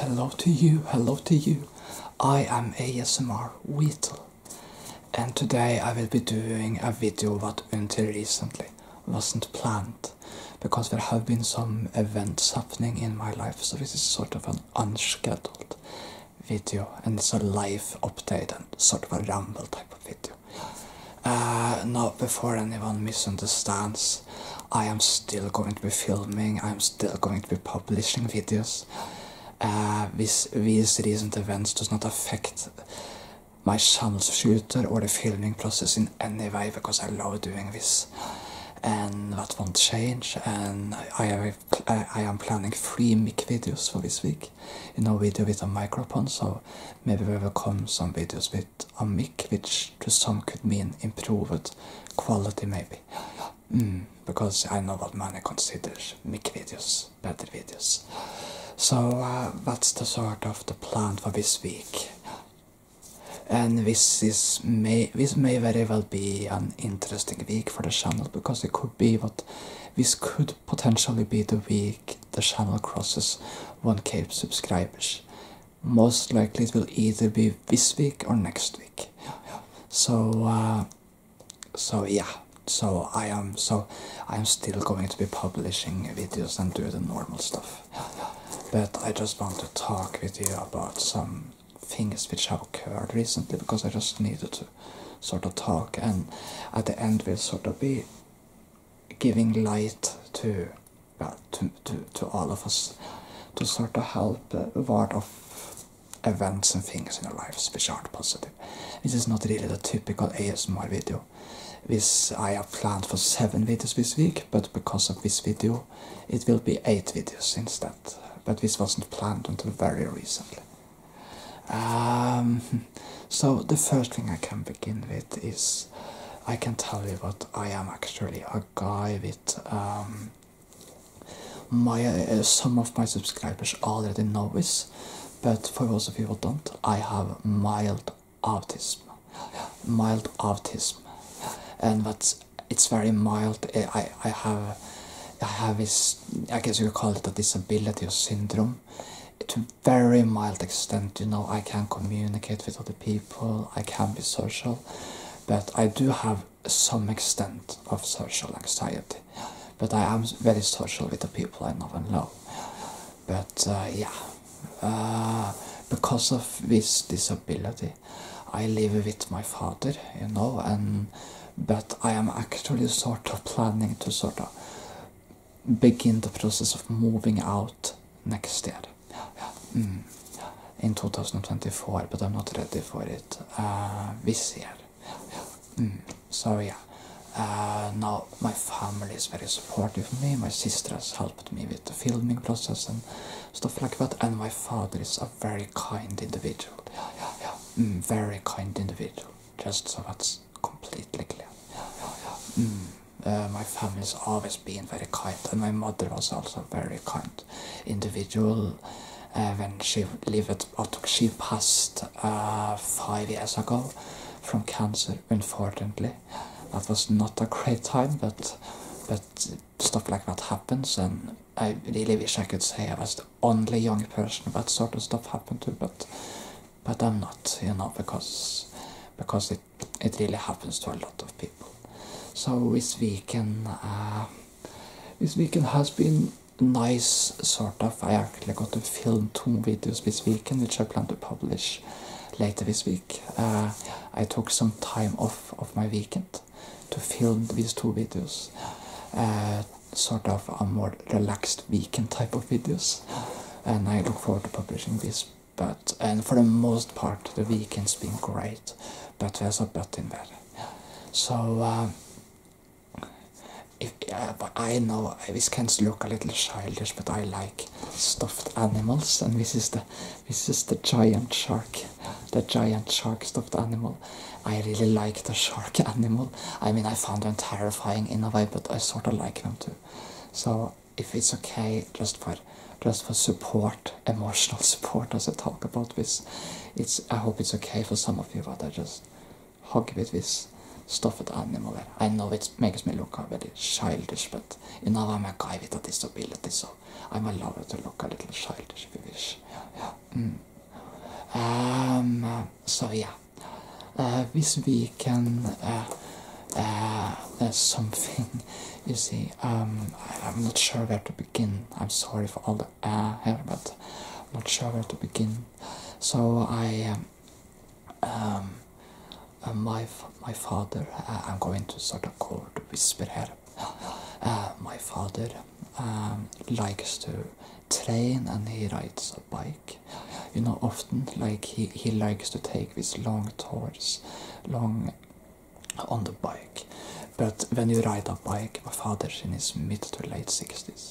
Hello to you, hello to you. I am ASMR Weetle and today I will be doing a video that until recently wasn't planned because there have been some events happening in my life so this is sort of an unscheduled video and it's a live update and sort of a ramble type of video. Uh, now before anyone misunderstands I am still going to be filming, I'm still going to be publishing videos. Uh, this, these recent events does not affect my channel's future or the filming process in any way because I love doing this and that won't change and I, have, I, am planning three mic videos for this week you know we do with a microphone so maybe we will come some videos with a mic, which to some could mean improved quality, maybe. Mm, because I know what many considers mic videos better videos. So uh, that's the sort of the plan for this week. And this is may this may very well be an interesting week for the channel because it could be what this could potentially be the week the channel crosses 1k subscribers most likely it will either be this week or next week so uh, so yeah so i am so i'm still going to be publishing videos and do the normal stuff but i just want to talk with you about some things which have occurred recently because i just needed to sort of talk and at the end we will sort of be giving light to yeah, to, to, to all of us to sort of help a lot of events and things in our lives which aren't positive. This is not really the typical ASMR video. This I have planned for 7 videos this week, but because of this video it will be 8 videos instead. But this wasn't planned until very recently. Um, so the first thing I can begin with is I can tell you that I am actually a guy with um, my uh, some of my subscribers already know this, but for those of you who don't, I have mild autism, mild autism, and that's it's very mild. I I have I have this I guess you call it a disability or syndrome. To very mild extent, you know, I can communicate with other people, I can't be social, but I do have some extent of social anxiety. But I am very social with the people I know and love. But uh, yeah, uh, because of this disability, I live with my father, you know, and but I am actually sort of planning to sort of begin the process of moving out next year, in 2024, but I'm not ready for it uh, eh, this year. Mm, so yeah. now my family is very supportive of me. My sister has helped me with the filming process and stuff like that. And my father is a very kind individual. Yeah, yeah, yeah. very kind individual. Just so that's completely clear. Mm. Uh, my family's always been very kind, and my mother was also very kind individual. Uh, when she lived, she passed uh, five years ago from cancer, unfortunately. That was not a great time, but but stuff like that happens, and I really wish I could say I was the only young person that sort of stuff happened to, but but I'm not, you know, because because it it really happens to a lot of people. So this weekend, uh, this weekend has been nice, sort of. I actually got to film two videos this weekend, which I plan to publish later this week. Uh, I took some time off of my weekend to film these two videos. Uh, sort of a more relaxed weekend type of videos. And I look forward to publishing these but and for the most part the weekend's been great, but there's a but in that. So um, uh, I know this can look a little childish, but I like stuffed animals, and this is the this is the giant shark, the giant shark stuffed animal. I really like the shark animal. I mean, I found them terrifying in a way, but I sort of like them too. So if it's okay just for just for support emotional support as i talk about this it's i hope it's okay for some of you but i just hug with this stuffed animal i know it makes me look very childish but you know i'm a guy with a disability so i'm allowed to look a little childish if you wish mm. um, so yeah uh, this week uh, uh, there's something you see, um, I'm not sure where to begin. I'm sorry for all the ah but I'm not sure where to begin. So I, um, um uh, my my father, uh, I'm going to sort of go to whisper here. my father um, likes to train and he rides a bike. You know, often like he he likes to take take this long tours, long on the bike. But when you ride a bike, my father's in his mid to late 60s.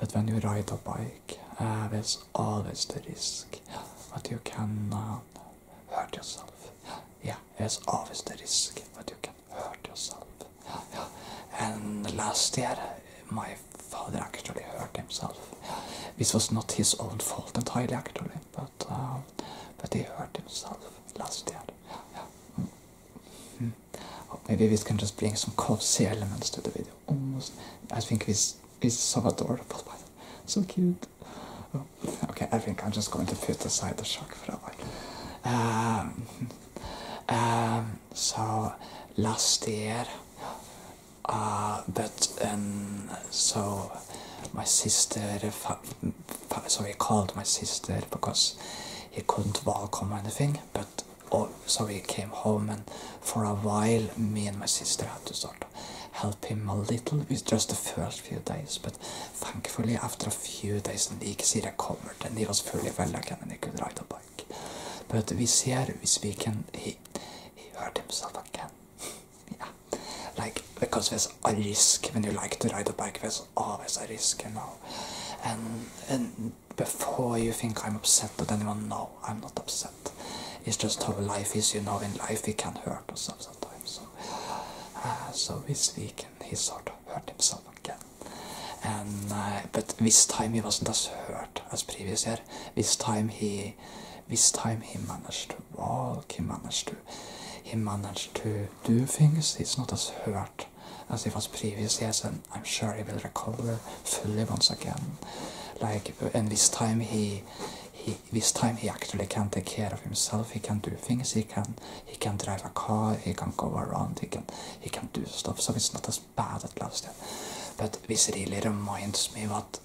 But when you ride a bike, uh, there's always the risk that you can uh, hurt yourself. Yeah, there's always the risk that you can hurt yourself. And last year, my father actually hurt himself. This was not his own fault entirely, actually. Uh, but they hurt themselves last year. maybe mm. we can just bring some cozy elements to the video. Almost, I think this is so adorable, but so cute. Okay, I think I'm just going to put aside the shark for a while. so last year, uh, but um, so my sister, so he called my sister because he couldn't walk or anything, but oh, so he came home and for a while me and my sister had to sort of help him a little with just the first few days, but thankfully after a few days he could Nixie recovered and he was fully well again and he could ride a bike. But this year, this weekend, he, he hurt himself again yeah, like because there's a risk when you like to ride a bike. There's always a risk, you know. And and before you think I'm upset with anyone, no, I'm not upset. It's just how life is, you know. In life, we can hurt ourselves sometimes. So, uh, so this weekend he sort of hurt himself again. And uh, but this time he wasn't as hurt as previous year. This time he, this time he managed walk, he managed to he managed to do things. He's not as hurt as he was previously, years, and I'm sure he will recover fully once again. Like and this time he this time he actually can take care of himself. He can do things. He can he can drive a car. He can go around. He can he can do stuff. So it's not as bad as last year. But this really reminds me what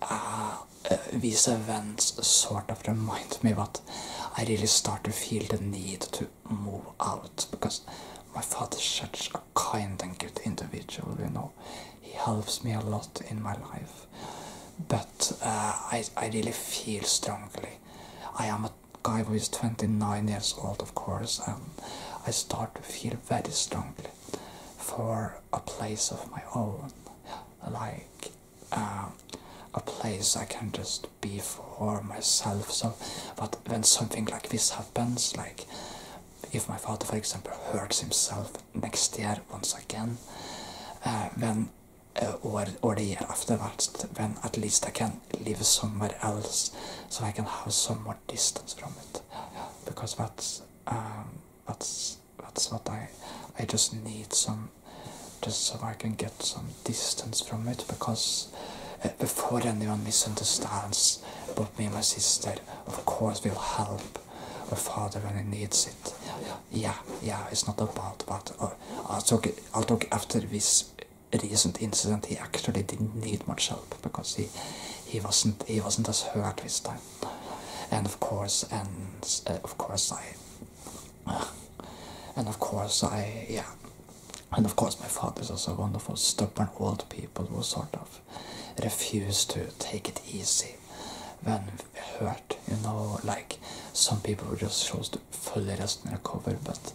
uh, uh, these events sort of remind me that I really start to feel the need to move out because my father is such a kind and good individual, you know. He helps me a lot in my life. But uh, I, I really feel strongly. I am a guy who is 29 years old, of course, and I start to feel very strongly for a place of my own, like um, a place I can just be for myself. So, but when something like this happens, like if my father, for example, hurts himself next year once again, uh, then uh, or, or the year afterwards, then at least I can live somewhere else, so I can have some more distance from it, because that's um, that's that's what I I just need some just so I can get some distance from it because uh, before anyone misunderstands but me and my sister of course will help my father when he needs it yeah yeah it's not about but uh, I'll talk after this recent incident he actually didn't need much help because he he wasn't he wasn't as hurt this time and of course and uh, of course I and of course I yeah and of course my father is also a wonderful stubborn old people who sort of refuse to take it easy when hurt you know like some people just chose to fully rest in recover but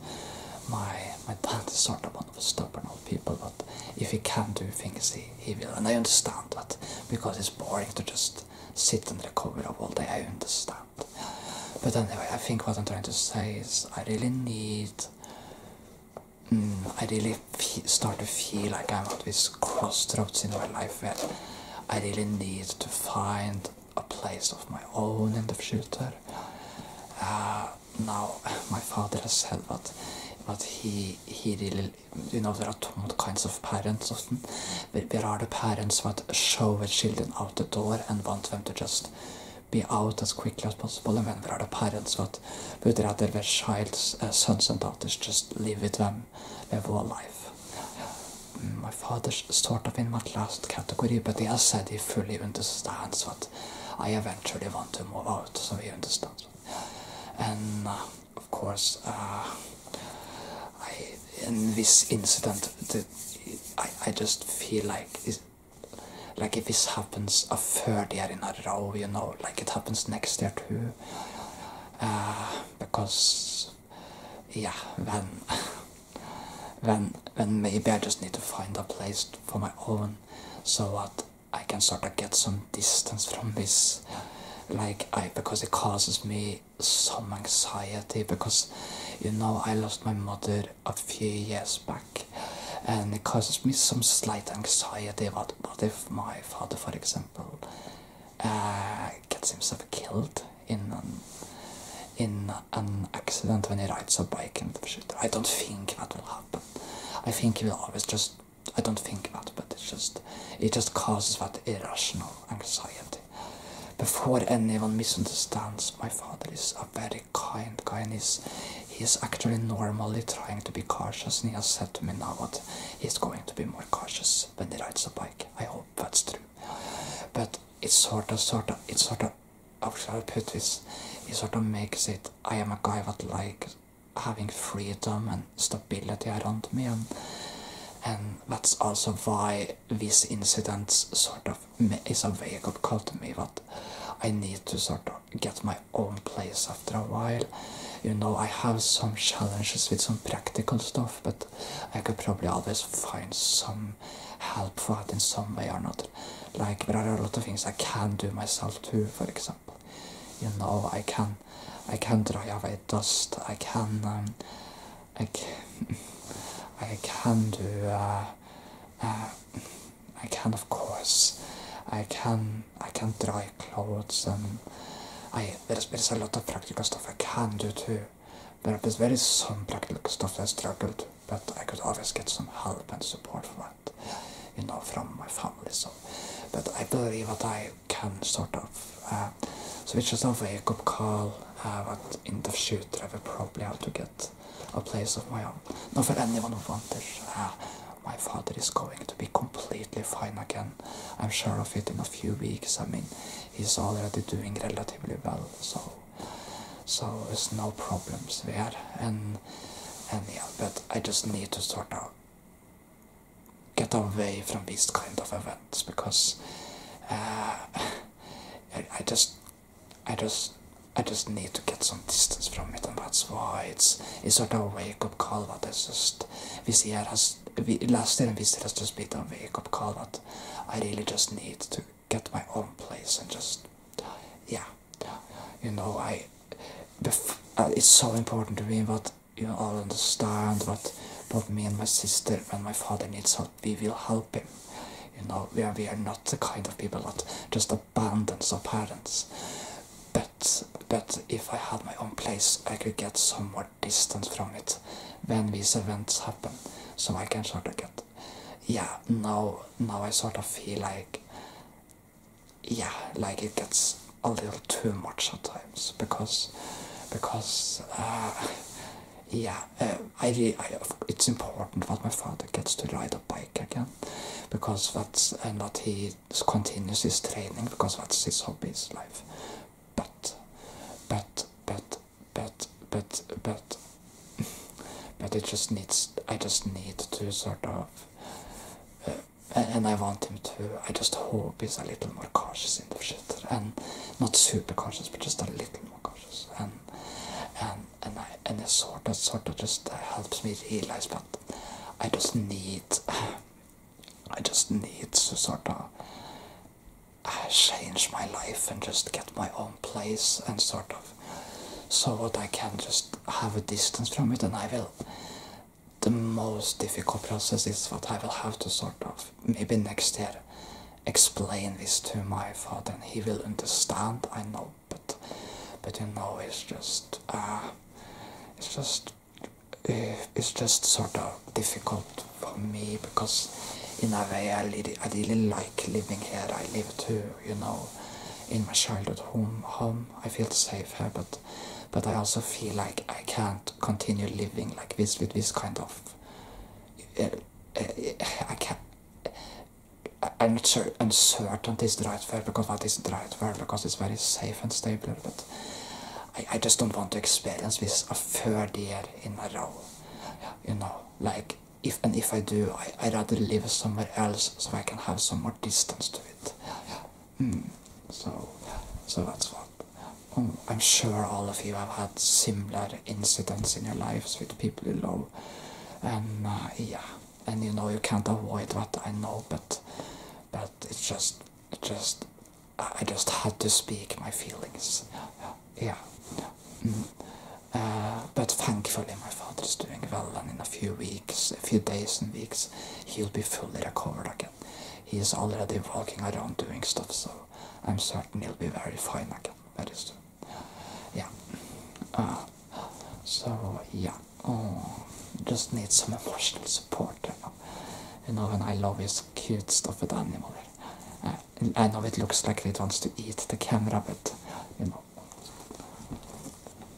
my my dad is sort of one of the stubborn old people but if he can do things he evil, and I understand that because it's boring to just sit under the cover all day. I understand. But anyway, I think what I'm trying to say is I really need. Mm, I really start to feel like I'm at this crossroads in my life where I really need to find a place of my own in the future. Uh, now, my father has said that, but he, he really you know there are two kinds of parents often. There are the parents that show the children out the door and want them to just be out as quickly as possible, and then there are the parents that would rather their child's sons and daughters just live with them their life. My father's sort of in that last category, but he has said he fully understands what I eventually want to move out, so he understands. And of course, uh, I, in this incident, I, I just feel like like if this happens a third year in a row, you know, like it happens next year too, uh, because yeah, then then then maybe I just need to find a place for my own, so what? I can sort of get some distance from this like I because it causes me some anxiety because you know I lost my mother a few years back and it causes me some slight anxiety about what if my father for example uh, gets himself killed in an, in an accident when he rides a bike and I don't think that will happen. I think he will always just I don't think that, but it just it just causes that irrational anxiety. Before anyone misunderstands, my father is a very kind guy, and he's he actually normally trying to be cautious. And he has said to me now what he's going to be more cautious when he rides a bike. I hope that's true. But it's sort of, sort of, it sort of. How shall I put this? It sort of makes it. I am a guy that likes having freedom and stability around me and and that's also why this incident sort of is a wake-up call to me that I need to sort of get my own place after a while. You know, I have some challenges with some practical stuff, but I could probably always find some help for it in some way or another. Like, there are a lot of things I can do myself too, for example. You know, I can I can dry away dust. I can um, I can, I can do uh, uh, I can of course I can I can dry clothes um, I there's there's a lot of practical stuff I can do too. There There is very some practical stuff I struggled, but I could always get some help and support from you know from my family. So, but I believe that I can sort of switch us it's a wake call. Uh, but in the future, I will probably have to get a place of my own. Not for anyone who wonders. Uh, eh, my father is going to be completely fine again. I'm sure of it in a few weeks. I mean, he's already doing relatively well, so so there's no problems there. And and yeah, but I just need to sort out get away from these kind of events because uh, I, just I just I just need to get some distance from it and that's why it's it's sort of a wake-up call that it's just this year has we, last year and this year has just been a wake-up call that I really just need to get my own place and just yeah you know I uh, it's so important to me what you all understand what both me and my sister and my father needs help we will help him you know we are, we are not the kind of people that just abandon our parents but but if i had my own place i could get some more distance from it when these events happen so i can sort of get yeah now now i sort of feel like yeah, like it gets a little too much at times because because uh, yeah, uh, I, it's important that my father gets to ride a bike again because that's and uh, that he continues his training because that's his hobby, his life. But but but but but but but it just needs I just need to sort of and I want him to. I just hope he's a little more cautious in the shitter, and not super cautious, but just a little more cautious. And and and and it sort of sort of just uh, helps me realize, that I just need, I just need to sort of uh, change my life and just get my own place and sort of so that I can just have a distance from it, and I will the most difficult process is what I will have to sort of maybe next year explain this to my father and he will understand I know but but you know it's just uh, it's just uh, it's just sort of difficult for me because in a way I, I really like living here I live too you know in my childhood home home I feel safe here but but I also feel like I can't continue living like this with this kind of. Uh, uh, I can't. I'm not so uncertain is the right word because that is the right word because it's very safe and stable, but I, I just don't want to experience this a third year in a row. You know, like if and if I do, I, I'd rather live somewhere else so I can have some more distance to it. Mm. So, so that's what. Um, I'm sure all of you have had similar incidents in your lives with people in love, and uh, yeah, and you know you can't avoid what I know, but, but it's just, it just, I just had to speak my feelings. Yeah. Mm. Uh, but thankfully, my father is doing well, and in a few weeks, a few days and weeks, he'll be fully recovered again. He is already walking around doing stuff, so I'm certain he'll be very fine again That is, soon. Yeah. Ah. so, yeah. Oh, just need some emotional support. You know, and I love his cute stuff with animal. Uh, I know it looks like he wants to eat the camera, but you know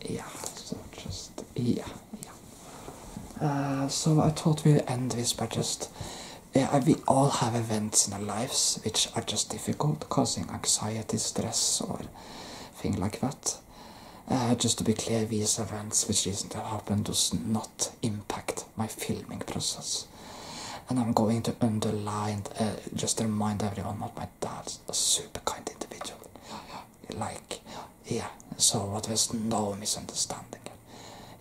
yeah, so just, yeah, yeah. Uh, so I thought we'd end this by just, yeah, we all have events in our lives which are just difficult, causing anxiety, stress or thing like that. Uh, just to be clear, these events which recently happened does not impact my filming process. And I'm going to underline, uh, just remind everyone what my that's a super kind individual. Like, yeah, so what was no misunderstanding.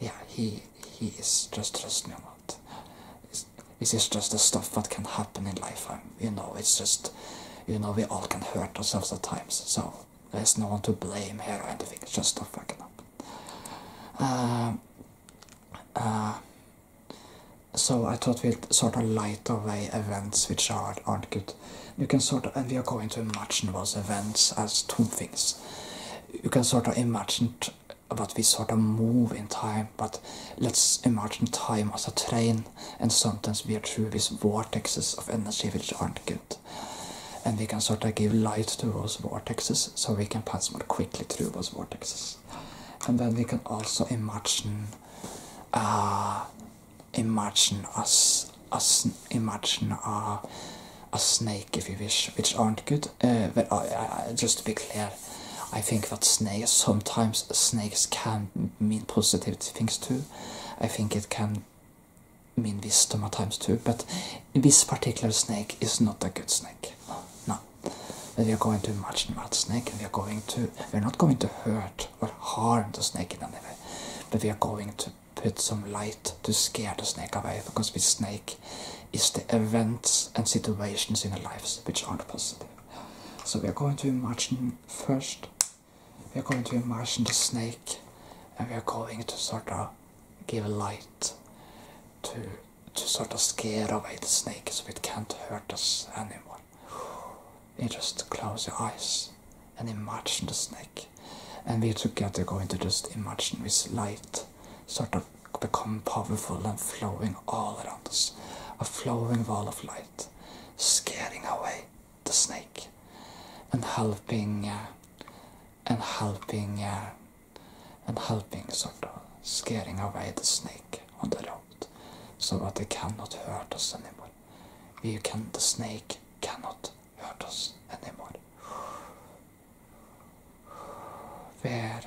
Yeah, he he is just trust me a this is just the stuff that can happen in life. you know, it's just, you know, we all can hurt ourselves at times. So there's no one to blame here or anything. just stuff fucking up. Um, uh, so I thought we'd sort of light away events which are, aren't good. You can sort of, and we are going to imagine those events as two things. You can sort of imagine that we sort of move in time, but let's imagine time as a train, and sometimes we are through these vortexes of energy which aren't good. And we can sort of give light to those vortexes, so we can pass more quickly through those vortexes. And then we can also imagine uh, imagine us us imagine a, a snake if you wish which aren't good uh, but I, just to be clear i think that snakes sometimes snakes can mean positive things too i think it can mean wisdom at too but this particular snake is not a good snake no we are going to imagine that snake and we are going to we're not going to hurt or harm the snake in any way but we are going to put some light to scare the snake away because this snake is the events and situations in our lives which aren't positive. So we are going to imagine first, we are going to imagine the snake and we are going to sort of give light to to sort of scare away the snake so it can't hurt us anymore. You just close your eyes and imagine the snake. And we together going to just imagine this light sort of become powerful and flowing all around us. A flowing wall of light, scaring away the snake and helping yeah, uh, and helping yeah, uh, and helping sort of scaring away the snake on the road so that they cannot hurt us anymore. We can, the snake cannot hurt us anymore. Where?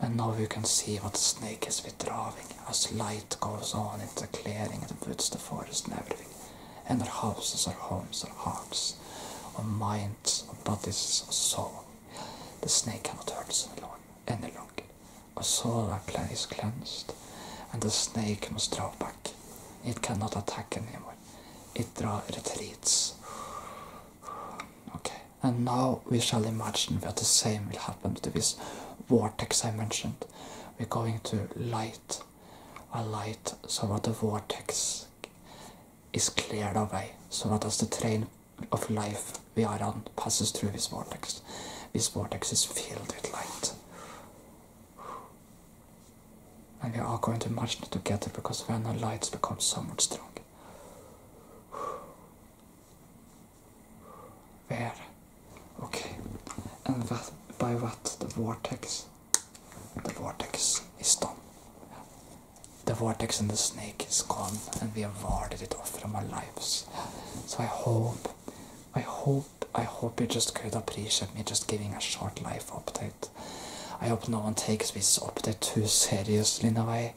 And now you can see what the snake is withdrawing as light goes on in the clearing, it puts the forest, and everything. And our houses, our homes, our hearts, our minds, our bodies, our soul. The snake cannot hurt us any longer og Sorakla er is cleansed, and the snake must draw back. It cannot attack anymore. It draws retreats. Okay, and now we shall imagine that the same will happen to this vortex I mentioned. We're going to light a light so that the vortex is cleared away, so that as the train of life we are on passes through this vortex. This vortex is filled with light. And we are going to merge together because when the lights become much strong. There. Okay. And that, by what the vortex the vortex is done. The vortex and the snake is gone and we have warded it off from our lives. So I hope I hope I hope you just could appreciate me just giving a short life update. I hope no one takes this update too seriously in a way.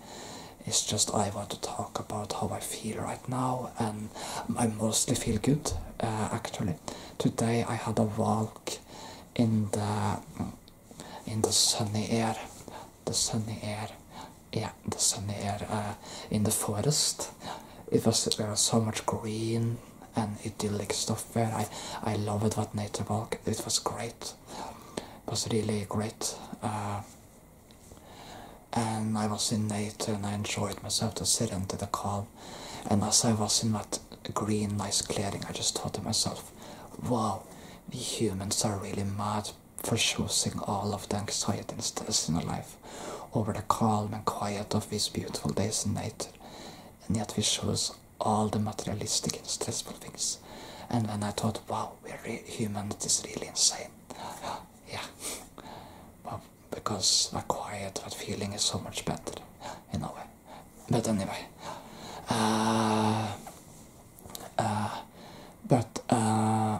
It's just I want to talk about how I feel right now, and I mostly feel good, uh, actually. Today I had a walk in the in the sunny air, the sunny air, yeah, the sun here in the forest. It was uh, so much green and idyllic stuff there. I, I loved that nature park. It was great. It was really great. Uh, and I was in nature and I enjoyed myself to sit under the calm. And as I was in that green, nice clearing, I just thought to myself, wow, the humans are really mad for choosing all of the anxiety and stress in our life over the calm and quiet of these beautiful days in nature, and yet we choose all the materialistic and stressful things. And then I thought, wow, we're human, it is really insane. yeah, well, because the quiet, that feeling is so much better in a way. But anyway, uh, uh, but. Uh,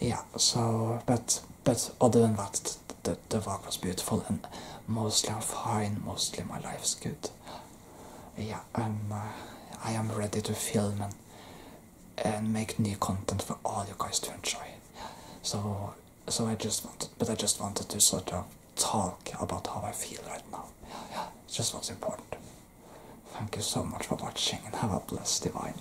yeah so but but other than that the, the work was beautiful and mostly i'm fine mostly my life is good yeah i'm uh, i am ready to film and and make new content for all you guys to enjoy so so i just wanted but i just wanted to sort of talk about how i feel right now just what's important thank you so much for watching and have a blessed divine